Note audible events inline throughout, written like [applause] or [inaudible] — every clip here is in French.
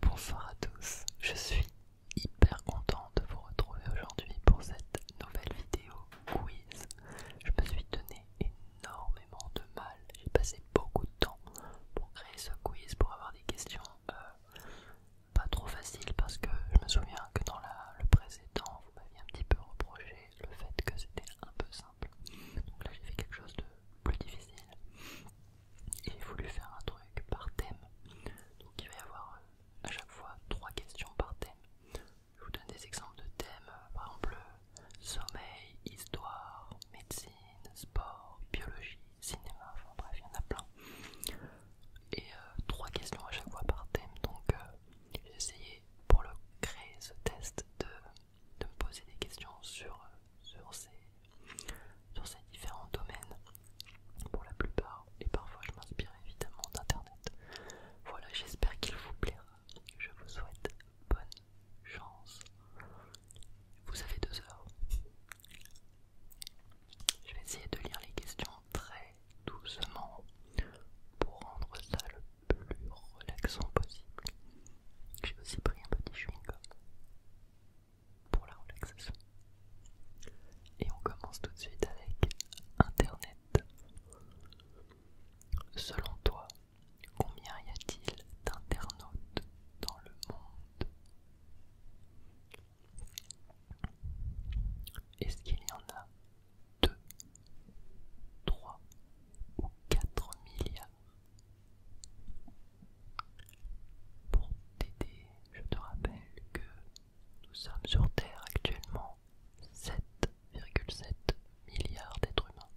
Bonsoir à tous, je suis hyper contente de vous retrouver aujourd'hui pour cette nouvelle vidéo quiz. Je me suis donné énormément de mal, j'ai passé beaucoup de temps pour créer ce quiz, pour avoir des questions euh, pas trop faciles parce que je me souviens que dans le précédent, vous m'aviez un petit peu reproché le fait que c'était un peu simple. Donc là j'ai fait quelque chose de plus difficile et j'ai voulu faire un truc par thème. Donc il va y avoir euh, à chaque fois trois questions par thème. Je vous donne des exemples de thèmes, euh, par exemple euh, sommeil, histoire, médecine, sport, biologie, cinéma, enfin bref, il y en a plein. Et trois questions à chaque fois par thème, donc j'ai essayé pour le créer ce test de de me poser des questions euh, sur, ces différents domaines pour la plupart et parfois je m'inspire évidemment d'internet. Voilà, j'espère qu'il vous plaira. Je vous souhaite bonne chance. Vous avez deux heures. Je vais essayer de lire les questions très doucement pour rendre ça le plus relaxant possible. J'ai aussi pris un petit chewing-gum pour la relaxation. Et on commence tout de suite avec Internet. Selon toi, combien y a-t-il d'internautes dans le monde Est-ce qu'il y en a 2, 3 ou 4 milliards pour t'aider, je te rappelle que nous sommes sur Terre actuellement 7,7 milliards d'êtres humains.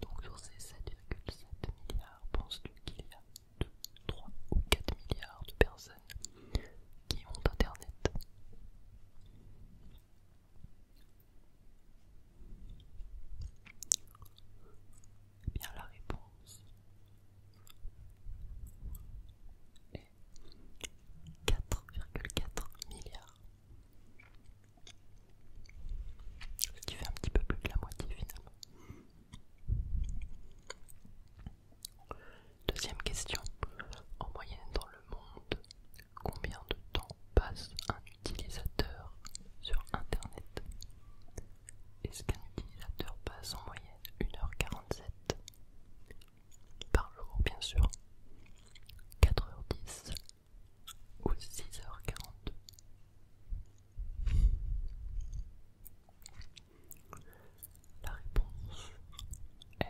Donc sur ces 7,7 milliards, penses-tu qu'il y a 2, 3 ou 4 milliards de personnes qui ont Internet eh bien la réponse est 4,4 milliards. Ce qui fait un petit peu plus de la moitié finalement. Deuxième question. En moyenne dans le monde, combien de temps passe un Utilisateur sur Internet. Est-ce qu'un utilisateur passe en moyenne 1h47 par jour, bien sûr, 4h10 ou 6 h 42 La réponse est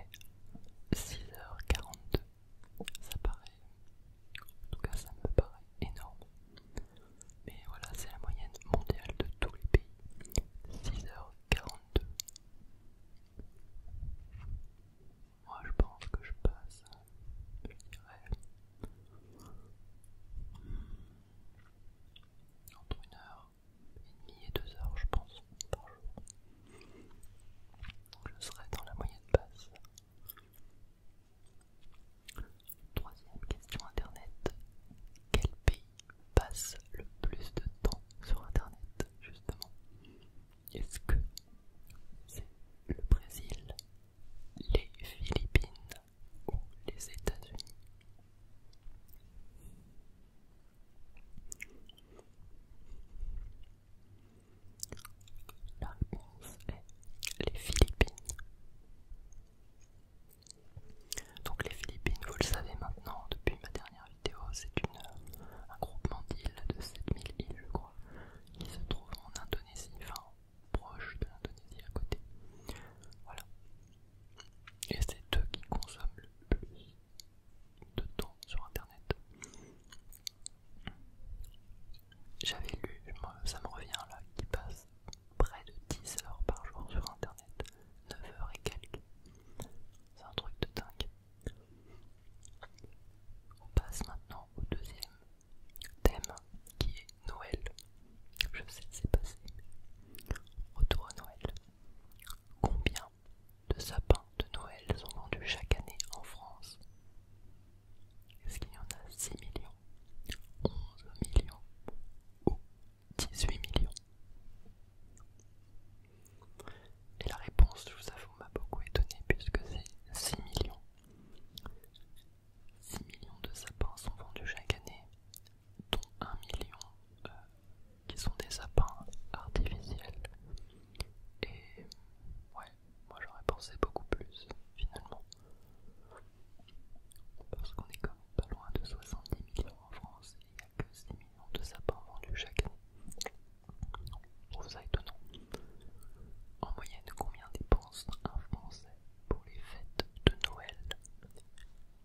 6h42. Ça paraît en tout cas, ça me paraît énorme. Mais voilà, c'est la moyenne mondiale de tous les pays. 6h42. Moi, je pense que je passe, je dirais, entre 1h30 et 2h, je pense, par jour. Donc, je serai dans la moyenne basse. Troisième question internet. Quel pays passe le plus de temps sur internet justement Est-ce que c'est le Brésil, les Philippines ou les États-Unis la réponse est les Philippines. Donc les Philippines, vous le savez maintenant, depuis ma dernière vidéo, c'est euh, un groupement d'îles de 7000 îles, je crois, qui se trouve en Indonésie, enfin proche de l'Indonésie à côté. Voilà. Et c'est eux qui consomment le plus de temps sur Internet. J'avais lu, ça me revient là, qui passe près de 10 heures par jour sur internet, 9 heures et quelques. C'est un truc de dingue. On passe maintenant au deuxième thème qui est Noël. Je sais que c'est passé, autour retour Noël. Combien de sapins de Noël sont vendus chaque année en France est-ce qu'il y en a 6 millions 11 millions ou 18 millions Et la réponse, je vous avoue, m'a beaucoup étonnée puisque c'est 6 millions. 6 millions de sapins sont vendus chaque année, dont 1 million euh, qui sont des sapins artificiels. Et ouais, moi j'aurais pensé beaucoup plus finalement. Parce qu'on est quand même pas loin de 70 millions en France et il n'y a que 6 millions de sapins vendus chaque année. Je trouve ça étonnant. En moyenne, combien dépense un Français pour les fêtes de Noël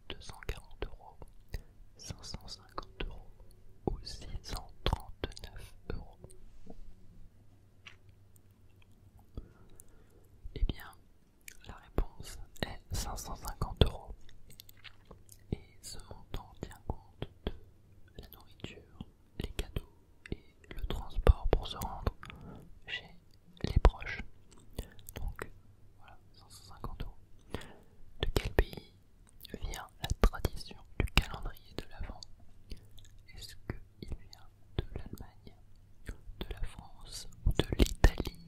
240 euros, 550 euros ou 639 euros eh bien, la réponse est 550 euros. Et ce montant tient compte de la nourriture, les cadeaux et le transport pour se rendre chez les proches. Donc voilà, 550 euros. De quel pays vient la tradition du calendrier de l'Avent il vient de l'Allemagne, de la France ou de l'Italie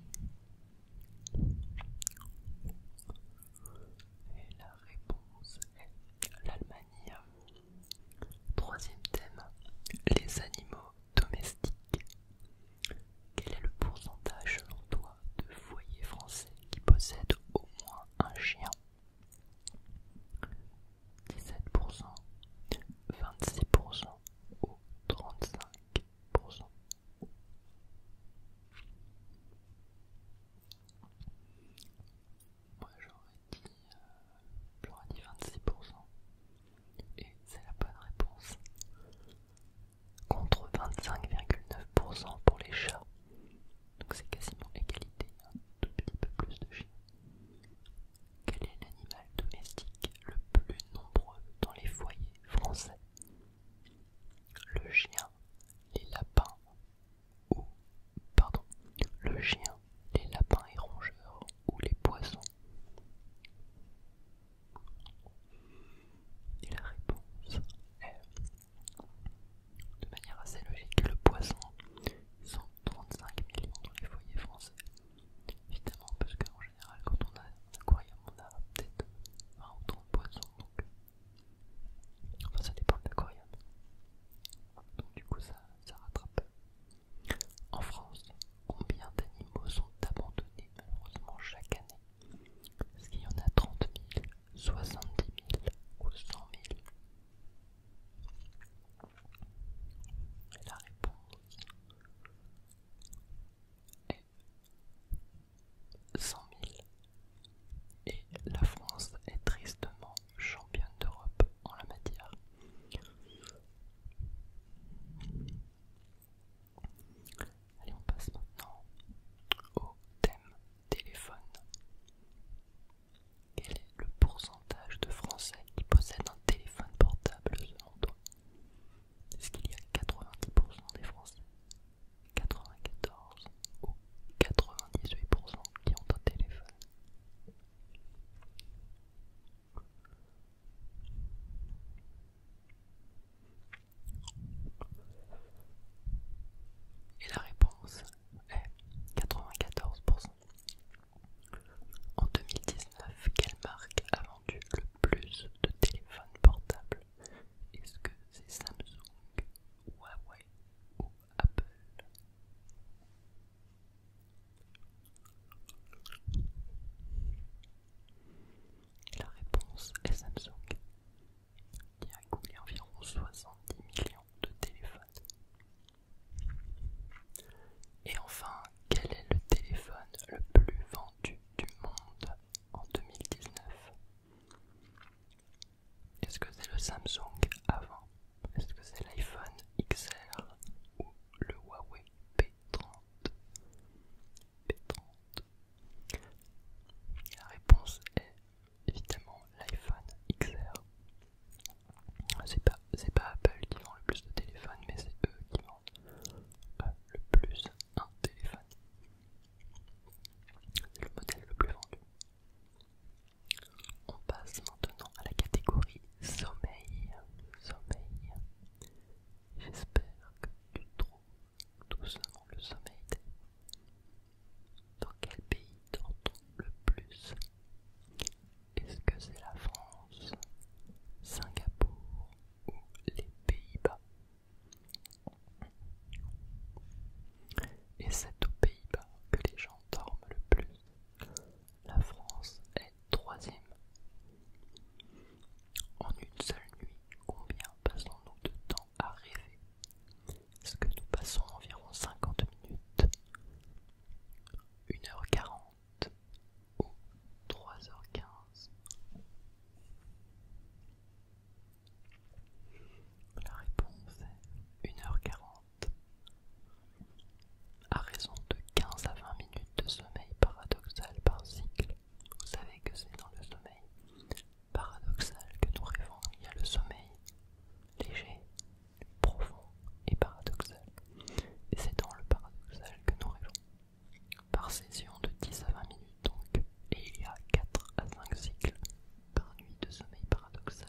Et la réponse est l'Allemagne. Troisième thème, les animaux domestiques. Quel est le pourcentage selon toi de foyers français qui possèdent au moins un chien 17%, 26% ou 35%. Moi j'aurais dit, 26% euh, et c'est la bonne réponse. Contre 25,9% pour les chats. Donc c'est quasiment égalité, hein. un tout petit peu plus de chiens. Quel est l'animal domestique le plus nombreux dans les foyers français Le chien, les lapins ou pardon, le chien, les lapins et rongeurs ou les poissons. Et la réponse est de manière assez logique le poisson 35 millions dans les foyers français. Évidemment, parce qu'en général, quand on a un aquarium, on a peut-être 20 ou 30 poissons, donc. Enfin, ça dépend de l'aquarium. Donc, du coup, ça rattrape. En France, combien d'animaux sont abandonnés malheureusement chaque année Est-ce qu'il y en a 30 000, 70 000 ou 100 000 et la réponse est 100 000. Et la France est tristement championne d'Europe en la matière. Allez, on passe maintenant au thème téléphone. Quel est le pourcentage de Français qui possèdent un téléphone portable selon toi Est-ce qu'il y a 90% des Français 94 ou 98% qui ont un téléphone et la réponse est 94%. En 2019, quelle marque a vendu le plus de téléphones portables Est-ce que c'est Samsung, Huawei ou Apple La réponse est Samsung, qui a coulé environ 70 millions de téléphones. Et enfin, quel est le téléphone le plus vendu du monde en 2019 Est-ce que c'est le Samsung avant Est-ce que c'est l'iPhone XR ou le Huawei P30 P30 La réponse est évidemment l'iPhone XR. C'est pas, pas Apple qui vend le plus de téléphones, mais c'est eux qui vendent euh, le plus un téléphone. C'est le modèle le plus vendu. On passe maintenant à la catégorie sommeil. Sommeil. J'espère que tu trouves doucement le sommeil. Dans quel pays dort-on le plus Est-ce que c'est la France, Singapour ou les Pays-Bas Et c'est aux Pays-Bas que les gens dorment le plus. La France est troisième. En une seule nuit, combien passons-nous de temps à rêver est ce que nous passons environ 50 minutes, 1h40 ou 3h15 La réponse est 1h40. À raison de 15 à 20 minutes de sommeil paradoxal par cycle, vous savez que c'est dans le sommeil paradoxal que nous rêvons. Il y a le sommeil léger profond et paradoxal. Et c'est dans le paradoxal que nous rêvons. Par session de 10 à 20 minutes donc, et il y a 4 à 5 cycles par nuit de sommeil paradoxal.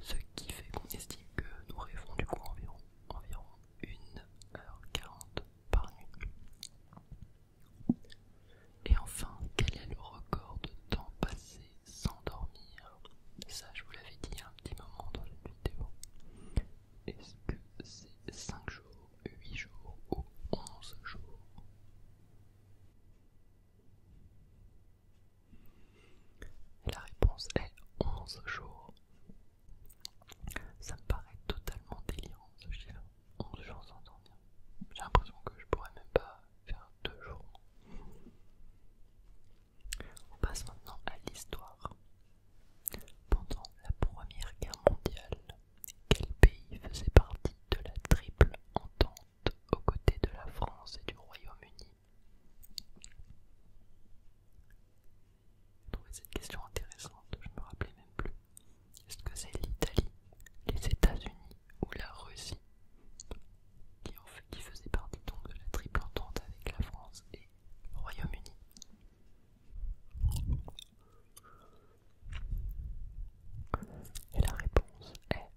Ce qui fait qu'on estime que nous rêvons du coup environ, environ 1h40 par nuit. Et enfin, quel est le record de temps passé s'endormir. Ça, je vous l'avais dit il y a un petit moment dans une vidéo. Est-ce que c'est 5 jours, 8 jours ou 11 jours La réponse est 11 jours. Ça me paraît totalement délirant ce chiffre. 11 jours sans dormir. J'ai l'impression que je pourrais même pas faire deux jours. On passe maintenant à l'histoire. Pendant la Première Guerre mondiale, quel pays faisait partie de la triple entente aux côtés de la France et du Royaume-Uni trouvé cette question intéressante, je ne me rappelais même plus. Est-ce que c'est l'Italie, les États-Unis, ou la Russie, qui, faisait partie donc de la triple entente avec la France et le Royaume-Uni. Et la réponse est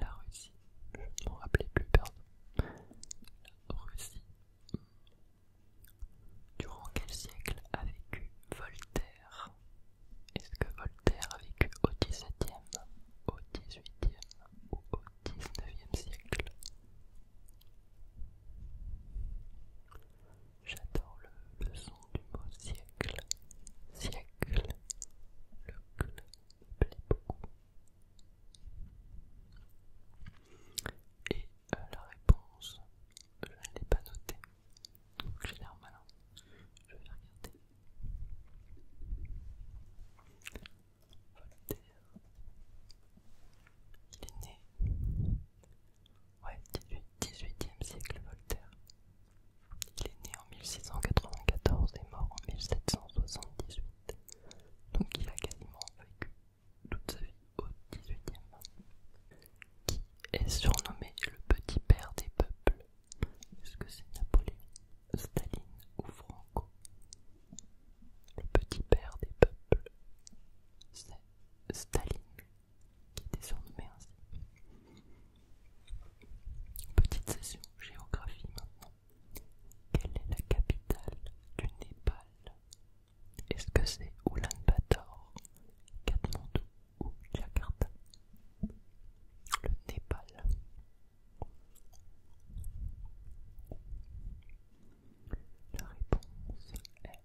la Russie. Je ne m'en rappelais plus, pardon. La Russie. Durant quel siècle a vécu Voltaire est-ce que Voltaire a vécu au XVIIe, au XVIIIe ou au XIXe siècle J'adore le, son du mot siècle. Siècle. Le cl me plaît beaucoup. Et euh, la réponse, je ne l'ai pas notée. Donc j'ai Je vais regarder Voltaire. Il est né. Ouais, 18, e siècle Voltaire. Il est né en 1694 et mort en 1778. Donc il a quasiment vécu toute sa vie au 18e. Qui est surnommé le petit père des peuples est-ce que c'est Napoléon, Staline ou Franco Le petit père des peuples, c'est Staline, qui était surnommé ainsi. Petite session géographie maintenant. Quelle est la capitale du Népal Est-ce que c'est Bator Katmandou ou Jakarta, le Népal, la réponse est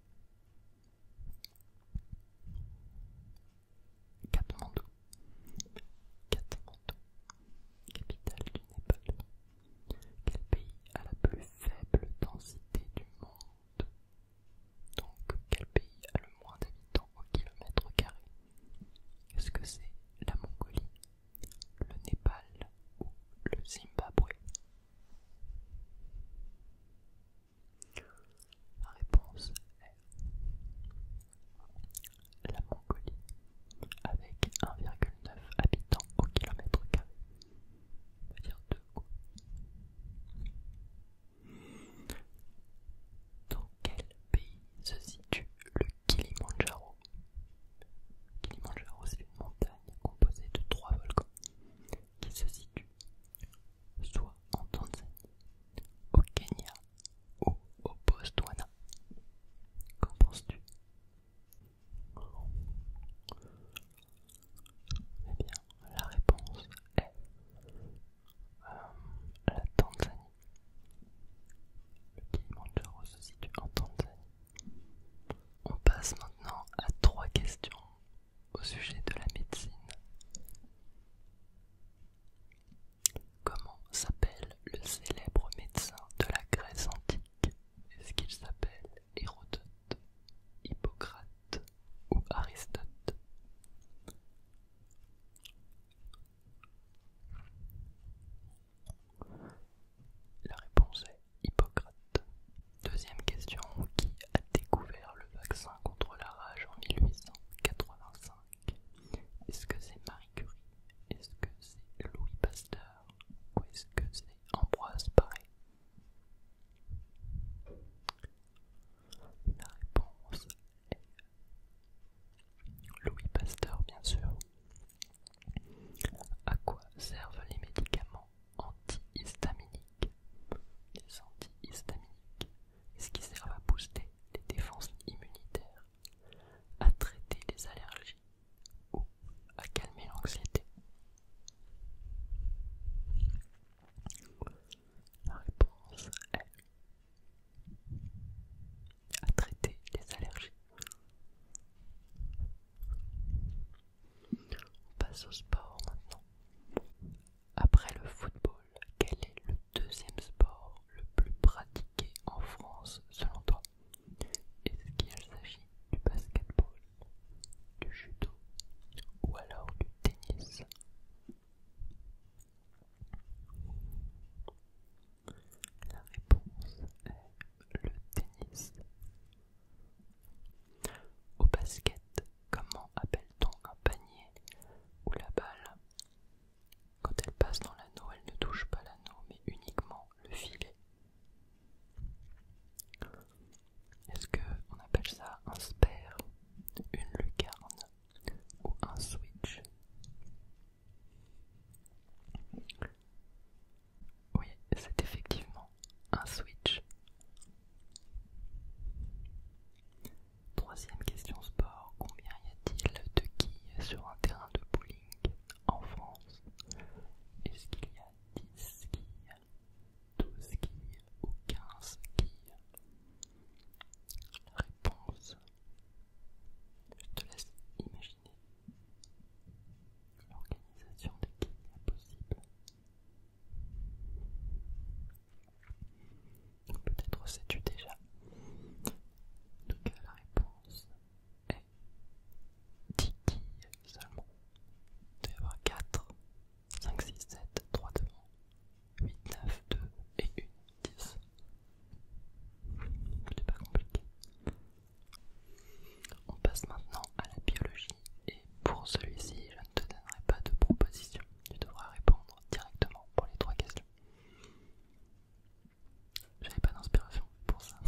Katmandou, Katmandou, capitale du Népal. Quel pays a la plus faible densité du monde donc, quel pays a le moins d'habitants au kilomètre carré Est-ce que c'est la Mongolie, le Népal ou le Zimbabwe La réponse est la Mongolie, avec 1,9 habitants au kilomètre carré. dire deux dans quel pays se situe le Kilimandjaro Kilimandjaro, c'est une montagne composée de trois volcans qui se situent soit en Tanzanie, au Kenya ou au Botswana. Qu'en penses-tu Eh bien, la réponse est euh, la Tanzanie. Le Kilimanjaro se situe en Tanzanie. On passe maintenant à trois questions au sujet de la médecine. Comment s'appelle le célèbre médecin de la Grèce antique Est-ce qu'il s'appelle Hérodote, Hippocrate ou Aristote la réponse est Hippocrate. Deuxième question, qui a découvert le vaccin contre la rage en 1885 Est-ce que c'est Marie Curie Est-ce que c'est Louis Pasteur Ou est-ce que c'est Ambroise Paré La réponse Louis Pasteur, bien sûr. À quoi servent les médicaments antihistaminiques Les antihistaminiques, est-ce qu'ils servent à booster les défenses immunitaires, à traiter les allergies ou à calmer l'anxiété la réponse est à traiter les allergies. On passe au sport maintenant. Après le football, quel est le deuxième sport le plus pratiqué en France selon toi Est-ce qu'il s'agit du basketball, du judo ou alors du tennis la réponse est le tennis. Au basket, comment appelle-t-on un panier ou la balle, quand elle passe dans l'anneau, elle ne touche pas l'anneau mais uniquement le filet Est-ce qu'on appelle ça un spare, une lucarne ou un switch. Oui, c'est effectivement un switch. Troisième question sport, combien y a-t-il de quilles sur un terrain de bowling en France Est-ce qu'il y a 10 quilles, 12 quilles ou 15 quilles la Réponse. Je te laisse imaginer l'organisation des kills possible. Peut-être sais-tu déjà. En tout cas, la réponse est 10 quilles seulement. Il doit y avoir 4 5, 6, 7, 3 devant, 8, 9, 2 et 1, 10. C'est pas compliqué. On passe maintenant à la biologie et pour celui-ci, je ne te donnerai pas de proposition. Tu devras répondre directement pour les trois questions. J'avais pas d'inspiration pour ça.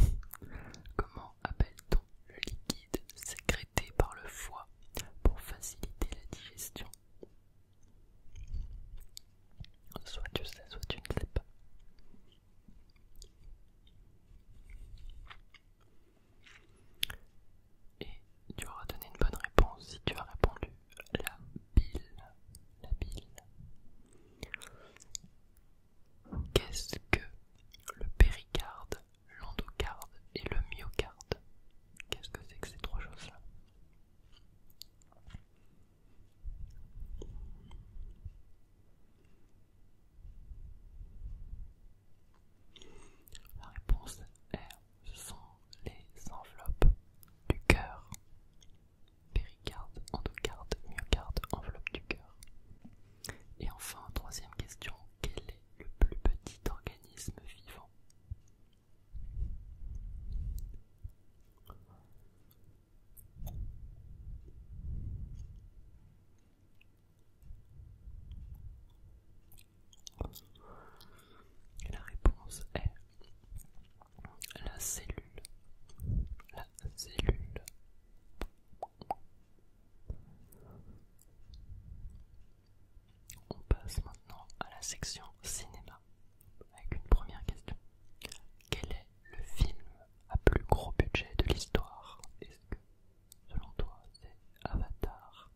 [laughs] Comment appelle-t-on le liquide sécrété par le foie pour faciliter la digestion Soit tu sais, soit tu ne sais pas. Et tu auras donné une bonne réponse si tu as répondu la bile. La bile. Qu'est-ce que le péricarde, l'endocarde et le myocarde Qu'est-ce que c'est que ces trois choses-là la réponse est ce sont les enveloppes du cœur. Péricarde, endocarde, myocarde, enveloppe du cœur. Et enfin, troisième question, quel est le plus petit organisme vivant la réponse est la cellule. La cellule. On passe maintenant à la section cinéma avec une première question. Quel est le film à plus gros budget de l'histoire Est-ce que, selon toi, c'est Avatar,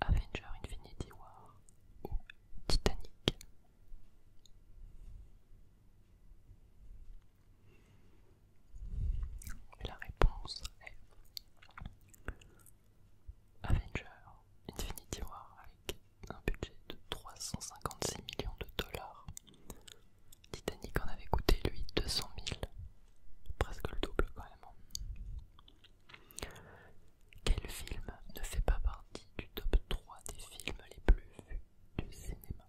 Avenger Infinity War ou Titanic la réponse est Avengers Infinity War avec un budget de 356 millions de dollars. Titanic en avait coûté lui 200 000, presque le double quand même. Quel film ne fait pas partie du top 3 des films les plus vus du cinéma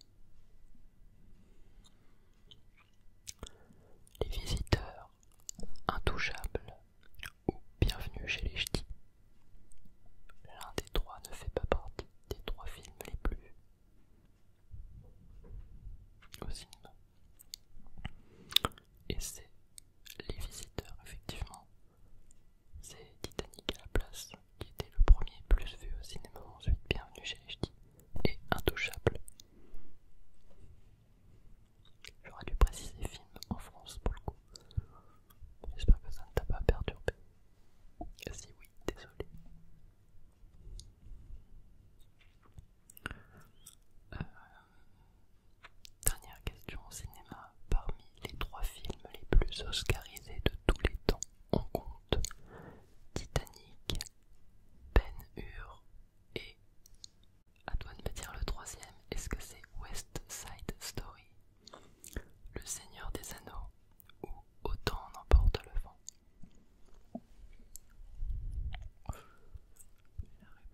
Les visiteurs, intouchables, ou Bienvenue chez les Ch'tis. L'un des trois ne fait pas partie des trois films les plus vus au cinéma. Et c'est Les Visiteurs, effectivement. C'est Titanic à la place qui était le premier plus vu au cinéma, ensuite Bienvenue chez les Ch'tis et Intouchable. J'aurais dû préciser film en France pour le coup. J'espère que ça ne t'a pas perturbé. Si oui, désolé. Euh, dernière question au cinéma. Parmi les trois films les plus oscarisés de tous les temps, on compte Titanic, Ben Hur et à toi de me dire le troisième. Est-ce que c'est West Side Story, Le Seigneur des Anneaux ou Autant en emporte le vent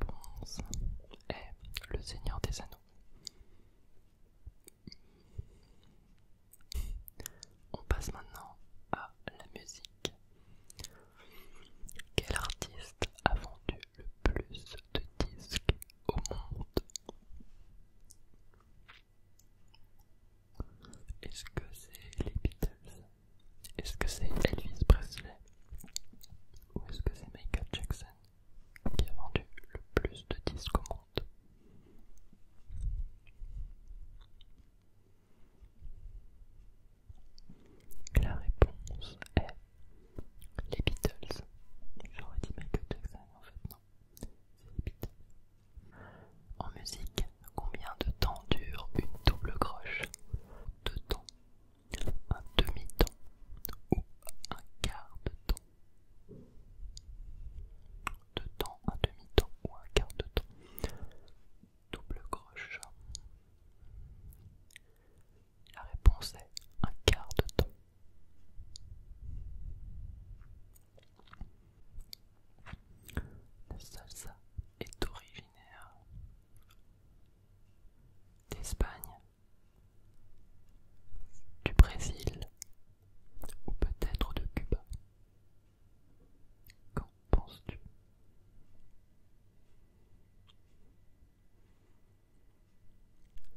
La réponse est Le Seigneur des Anneaux. On passe maintenant à la musique. Quel artiste a vendu le plus de disques au monde. Est-ce que c'est les Beatles Est-ce que c'est Elvis Presley Ou est-ce que c'est Michael Jackson qui a vendu le plus de disques au monde la réponse est les Beatles. J'aurais dit Michael Jackson, en fait, non. C'est les Beatles. En musique, combien de temps dure une double croche Deux temps, un demi-temps ou un quart de temps Deux temps, un demi-temps ou un quart de temps Double croche. La réponse est un quart de temps. La salsa est originaire d'Espagne, du Brésil ou peut-être de Cuba. Qu'en penses-tu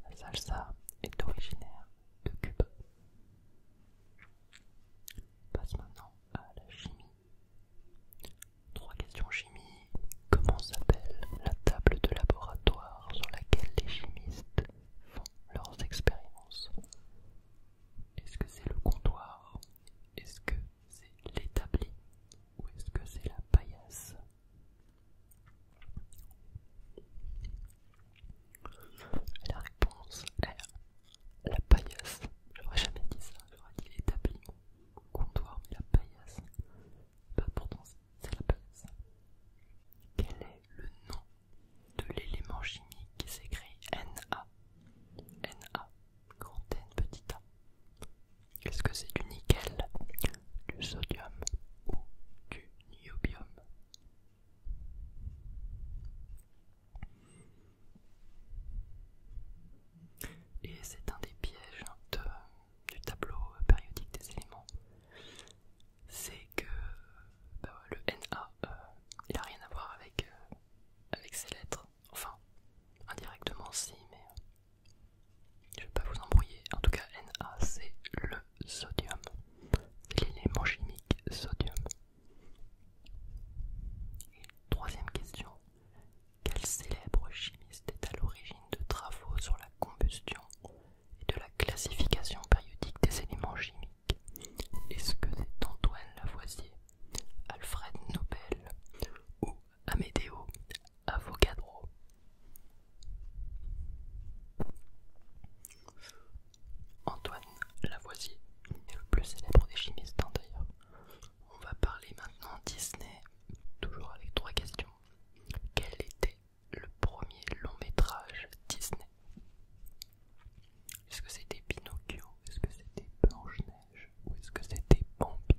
la salsa est originaire de Cuba. On passe maintenant à la chimie. Trois questions chimie. Comment s'appelle la table de laboratoire sur laquelle les chimistes font leurs expériences Est-ce que c'est le comptoir Est-ce que c'est l'établi ou est-ce que c'est la paillasse La réponse est la paillasse. J'aurais jamais dit ça, j'aurais dit l'établi comptoir, mais la paillasse. pas bah, pourtant c'est la paillasse. Quel est le nom de l'élément chimique qui s'écrit Na Na Grand N petit a. Est-ce que c'est du nickel, du sodium ou du niobium Et c'est un des pièges du tableau périodique des éléments. C'est que bah le Na, euh, il n'a rien à voir avec, euh, avec ces lettres. Enfin, indirectement si, mais... Euh, je ne vais pas vous embrouiller, en tout cas Na c'est le sodium, l'élément chimique sodium. troisième question, quel célèbre chimiste est à l'origine de travaux sur la combustion et de la classification périodique des éléments chimiques Est-ce que c'est Antoine Lavoisier, Alfred Nobel ou Amedeo, Amédéo Avocadro. Antoine Lavoisier est le plus célèbre des chimistes hein, d'ailleurs. On va parler maintenant Disney, toujours avec trois questions. Quel était le premier long métrage Disney Est-ce que c'était Pinocchio Est-ce que c'était blanche ou est-ce que c'était Bambi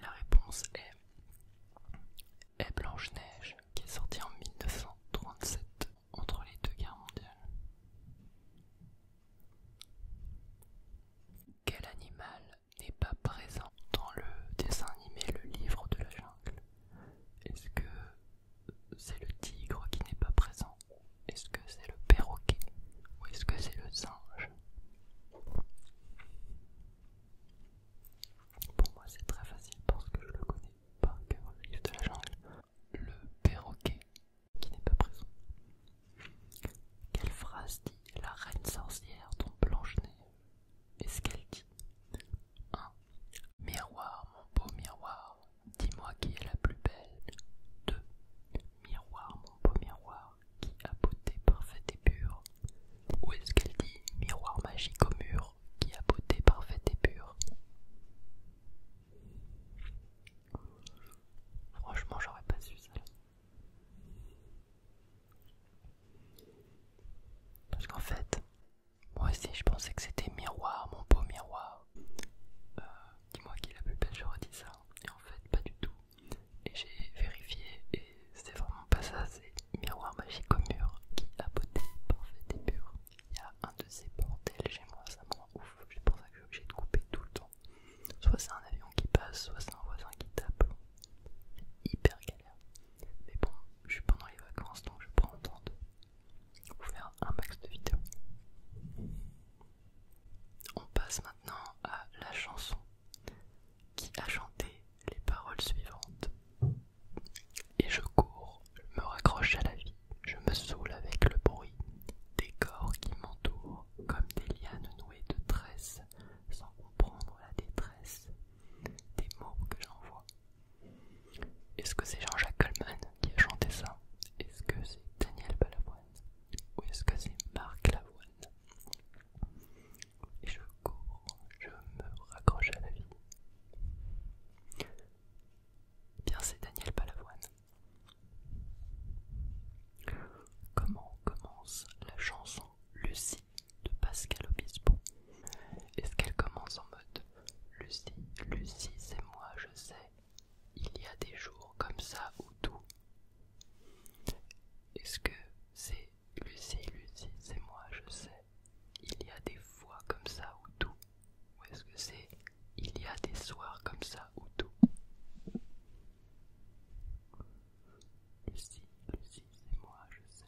la réponse est, est Blanche-Neige qui est sortie en 1937 entre les deux guerres mondiales. Quel animal n'est pas présent dans le dessin animé Le Livre de la Jungle est-ce que c'est le tigre qui n'est pas présent Est-ce que c'est le perroquet Ou est-ce que c'est le singe Pour moi c'est très facile parce que je le connais pas, cœur, le livre de la jungle. Le perroquet qui n'est pas présent. Quelle phrase dit la reine sorcière dont blanche nez Est-ce qu'elle dit 1. Miroir, mon beau miroir, dis-moi qui est la plus belle. 2. Miroir, mon beau miroir, qui a beauté parfaite et pure. Où est-ce qu'elle dit miroir magique au mur, qui a beauté parfaite et pure Franchement, j'aurais pas su ça. Parce qu'en fait, moi aussi je pensais que c'était miroir, mon beau miroir. Euh, dis-moi qui est la plus belle, je dit ça. Et en fait, pas du tout. Et j'ai vérifié et c'est vraiment pas ça, c'est miroir magique au mur qui a beauté parfait et pure. Il y a un de ces portes chez moi, ça me rend ouf. C'est pour ça que j'ai suis couper tout le temps. Soit c'est un avion qui passe, soit c'est un voisin qui tape. Hyper galère. Mais bon, je suis pendant les vacances donc je prends le temps de vous faire un max de vidéos. On passe maintenant à la chanson qui a chanté les paroles suivantes. Et je cours, je me raccroche à la vie, je me saoule avec le bruit des corps qui m'entourent comme des lianes nouées de tresses sans comprendre la détresse des mots que j'envoie est-ce que c'est Jean-Jacques Coleman qui a chanté ça Est-ce que c'est Daniel Balavoine Ou est-ce que c'est Marc Lavoine je cours, je me raccroche à la vie. Bien, c'est Daniel Balavoine. Comment commence la chanson Lucie de Pascal Obispo. Est-ce qu'elle commence en mode Lucie, Lucie, c'est moi, je sais. Il y a des jours comme ça ou tout. Est-ce que c'est Lucie, Lucie, c'est moi, je sais. Il y a des fois comme ça ou tout. Ou est-ce que c'est Il y a des soirs comme ça ou tout. Lucie, Lucie, c'est moi, je sais.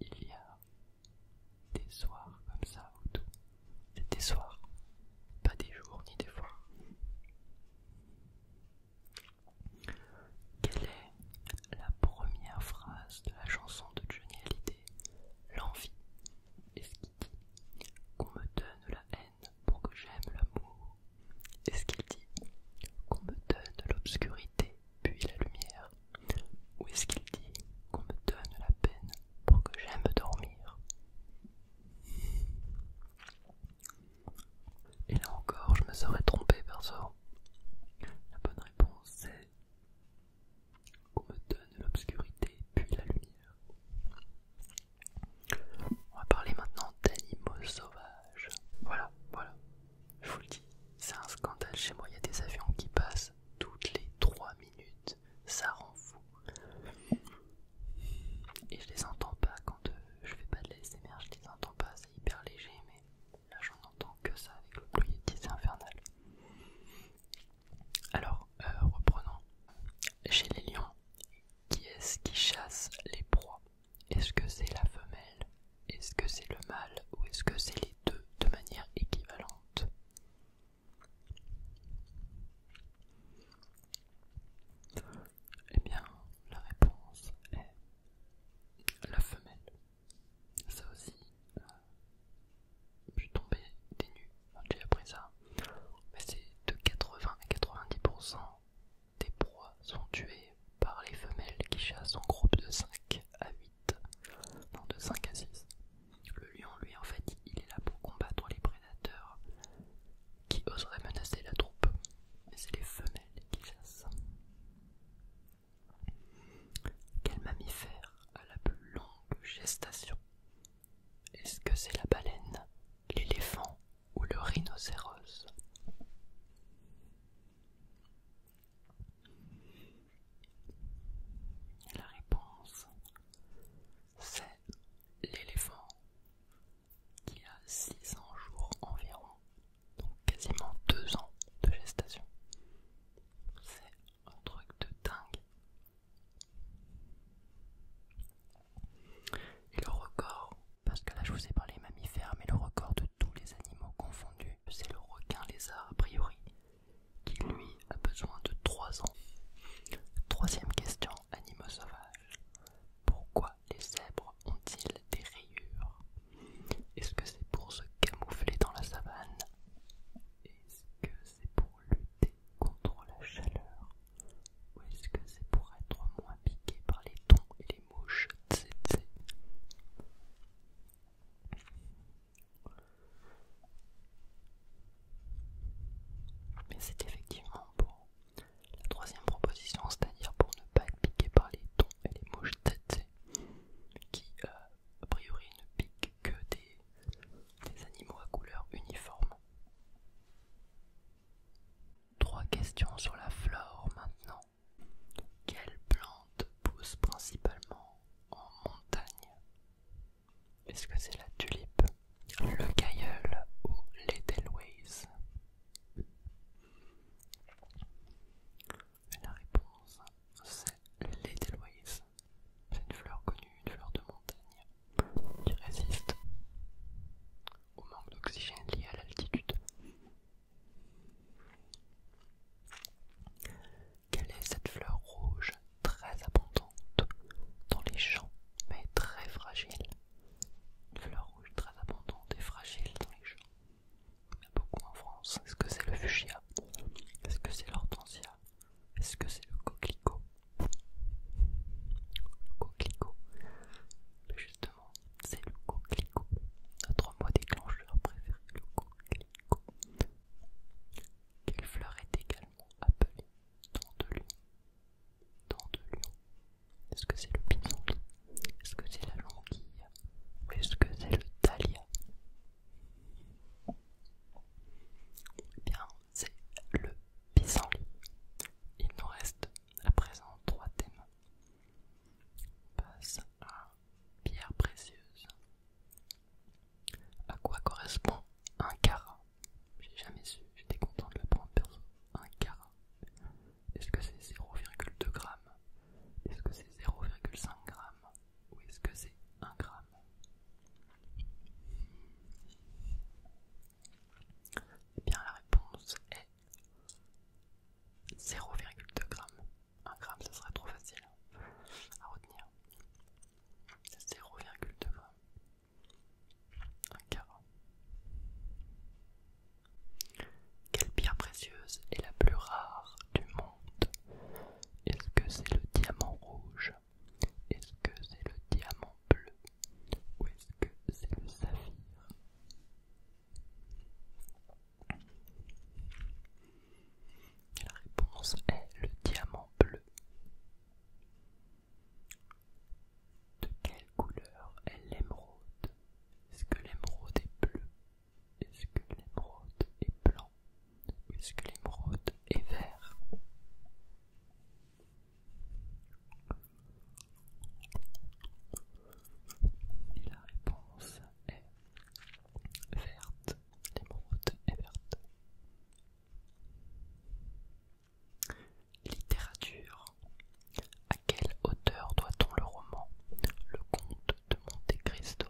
Il y a des soirs comme ça ou tout. Des soirs, pas des jours ni des fois. Quelle est la première phrase de la chanson de Johnny Hallyday L'envie Est-ce qu'il dit qu'on me donne la haine pour que j'aime l'amour Est-ce qu'il dit qu'on me donne l'obscurité puis la lumière Où est-ce qu'il dit qu'on me donne la peine pour que j'aime dormir Et là encore, je me serais trompé, perso. La bonne réponse, c'est qu'on me donne l'obscurité, puis la lumière. On va parler maintenant d'animaux sauvages. Voilà, voilà, je vous le dis, c'est un scandale chez moi, il y a des avions qui passent toutes les 3 minutes, ça rend fou. Et je les entends pas quand euh, je fais pas de l'ASMR, je les entends pas, c'est hyper léger, mais là j'en entends que ça avec le de c'est infernal. Alors, euh, reprenons. Chez les lions, qui est-ce qui chasse les proies Est-ce que c'est la femelle est-ce que c'est le mâle, ou est-ce que c'est les deux de manière équivalente Eh bien, la réponse est la femelle. Ça aussi, euh, je suis tombé des nues quand j'ai appris ça. Mais c'est de 80 à 90% des proies sont tuées par les femelles qui chassent en groupe de 5 à 8 de à Le lion, lui, en fait, il est là pour combattre les prédateurs qui oseraient menacer la troupe, mais c'est les femelles qui ça. Quel mammifère a la plus longue gestation Est-ce que c'est la baleine, l'éléphant ou le rhinocéros la réponse, c'est l'éléphant qui a 600 jours environ, donc quasiment 2 ans de gestation. C'est un truc de dingue. Et le record, parce que là je vous ai parlé mammifères, mais le record de tous les animaux confondus, c'est le requin lézard a priori, qui lui a besoin de 3 ans. Troisième question, animaux sauvages. Pourquoi les zèbres ont-ils des rayures Est-ce que c'est pour se camoufler dans la savane Est-ce que c'est pour lutter contre la chaleur Ou est-ce que c'est pour être moins piqué par les thons et les mouches mais c'est effectivement pour la troisième proposition, c'est-à-dire pour ne pas être piqué par les tons et les mouches têtes qui euh, a priori ne piquent que des animaux à couleur uniforme. Trois questions sur la flore maintenant. Quelle plante pousse principalement en montagne Est-ce que c'est la tulipe, le cailleul ou l'edelweiss La réponse, c'est l'edelweiss. C'est une fleur connue, une fleur de montagne qui résiste au manque d'oxygène lié à l'altitude. Quelle est cette fleur rouge très abondante dans les champs, mais très fragile Une fleur rouge très abondante et fragile dans les champs. Il y en a beaucoup en France. Est-ce que c'est le fuchsia Est-ce que c'est l'hortensia Est-ce que c'est le coquelicot Le coquelicot c'est le coquelicot. Notre mot déclencheur préféré, le coquelicot. Quelle fleur est également appelée Dandelion. de lion Est-ce que c'est le pissenlit Est-ce que c'est la languille Ou est-ce que c'est le talia eh bien, c'est le pissenlit. Il nous reste à présent trois thèmes. On passe à pierre précieuse. À quoi correspond un carat J'ai jamais su, j'étais content de prendre perso. Un carat. Est-ce que c'est 0,2 grammes Est-ce que c'est 0,5 grammes Ou est-ce que c'est 1 gramme Eh bien la réponse est 0,2 grammes. 1 gramme, ce serait trop facile hein, à retenir. 0,2 grammes. Un carré. Quelle pierre précieuse est la plus rare du monde Est-ce que c'est le diamant rouge Est-ce que c'est le diamant bleu Ou est-ce que c'est le saphir la réponse est le diamant bleu. De quelle couleur est l'émeraude Est-ce que l'émeraude est bleue Est-ce que l'émeraude est blanc Est-ce que l'émeraude est vert Et la réponse est verte. L'émeraude est verte. Littérature. À quelle auteur doit-on le roman Le comte de Monte Cristo.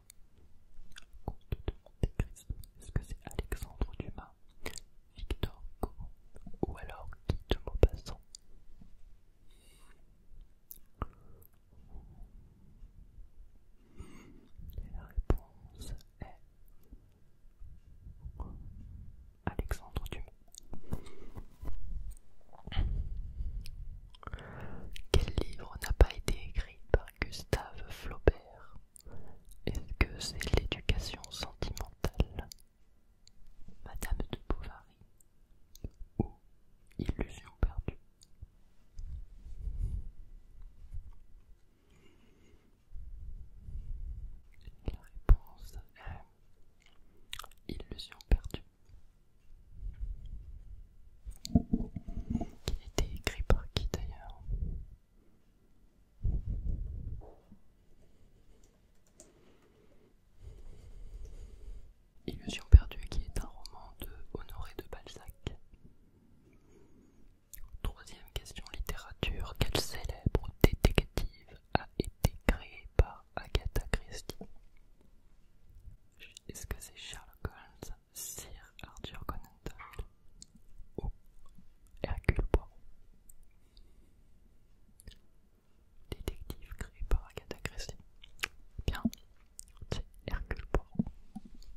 Comte de Monte Cristo. Est-ce que c'est Alexandre Dumas, Victor Hugo ou alors Guy de Maupassant la réponse est Alexandre Dumas. Quel livre n'a pas été écrit par Gustave Flaubert Est-ce que c'est l'éducation sentimentale Madame de Bovary ou illusion perdue. La réponse est illusion perdue, qui était écrit par qui d'ailleurs Illusion perdue qui est un roman de Honoré de Balzac. Troisième question littérature. Quel célèbre détective a été créé par Agatha Christie Est-ce que c'est Sherlock Holmes, Sir Arthur Conan Doyle ou Hercule Poirot détective créé par Agatha Christie. Bien, c'est Hercule Poirot.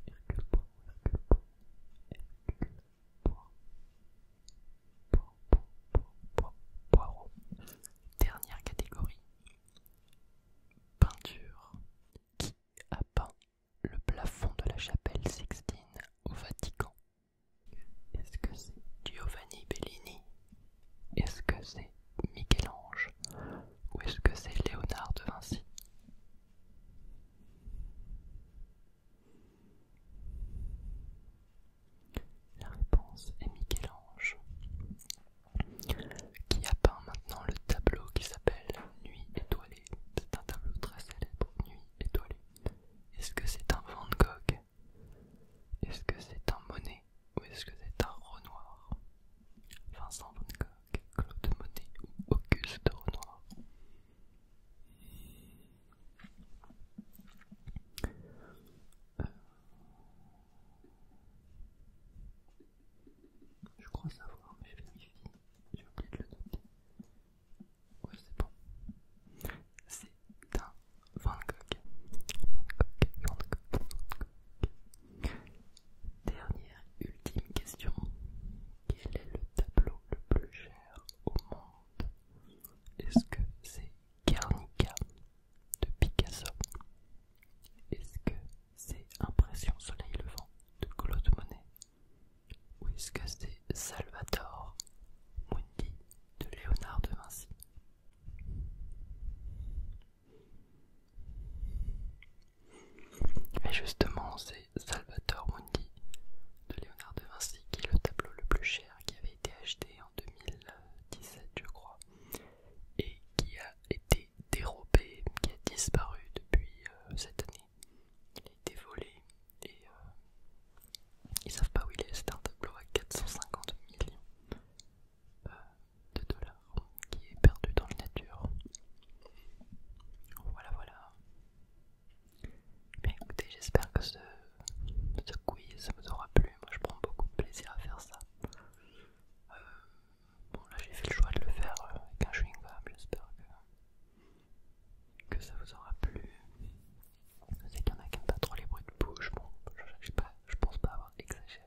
Hercule Poirot, Hercule Poirot, Hercule Poirot. Poirot, Poirot, Poirot. Dernière catégorie. Peinture. Qui a peint le plafond de la chapelle Sixtine au Vatican Est-ce que c'est Giovanni Bellini est-ce que c'est Michel-Ange ou est-ce que c'est Léonard de Vinci La réponse est Michel-Ange, qui a peint maintenant le tableau qui s'appelle Nuit étoilée. C'est un tableau très célèbre, Nuit étoilée. Est-ce que c'est un Van Gogh Est-ce que c'est un Monet ou est-ce que c'est un Renoir Vincent Van Gogh, Claude Monet ou Auguste Renoir euh, Je crois savoir, mais je vérifie. J'ai oublié de le noter. Ouais, c'est bon. C'est un Van Gogh. Van Gogh, Dernière, ultime question. Quel est le tableau le plus cher au monde Est-ce que c'est Guernica de Picasso Est-ce que c'est Impression Soleil Levant de Claude Monet Ou est-ce que c'est Salvatore Mundi de Léonard de Vinci et justement, c'est Salvatore Mundi de Léonard de Vinci qui est le tableau le plus cher qui avait été acheté en 2017, je crois, et qui a été dérobé, qui a disparu depuis euh, cette année. Il a été volé et euh, ils savent pas où il est. C'est un tableau à 450 millions. Euh, de dollars qui est perdu dans la nature. Voilà, voilà. écoutez, j'espère que ce, quiz vous aura plu. Moi, je prends beaucoup de plaisir à faire ça. Euh, bon, là, j'ai fait le choix de le faire euh, avec un chewing-gum. J'espère que, ça vous aura plu. Je qu'il y en a qui n'ont pas trop les bruits de bouche. Bon, je sais pas je pense pas avoir exagéré.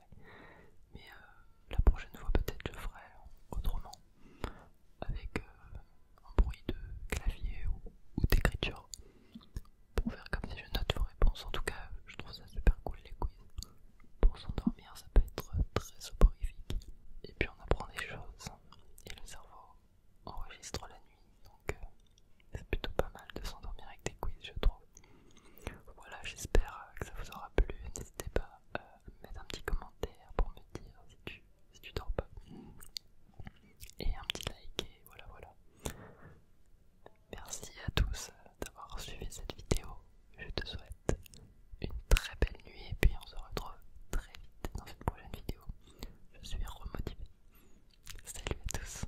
Mais euh, la prochaine fois, peut-être je ferai autrement, avec euh, un bruit de clavier ou, d'écriture, pour faire comme si je note vos réponses. En tout cas, je trouve ça super cool les quiz. Pour s'endormir, ça peut être très soporifique. Et puis on apprend des choses, et le cerveau enregistre la nuit, donc. Euh, c'est plutôt pas mal de s'endormir avec des quiz, je trouve. Voilà, j'espère que ça vous aura plu. N'hésitez pas euh, à mettre un petit commentaire pour me dire si tu, dors pas. Et un petit like, et voilà, voilà. Merci à tous euh, d'avoir suivi cette vidéo. Je te souhaite une très belle nuit et puis on se retrouve très vite dans une prochaine vidéo. Je suis remotivé. Salut à tous.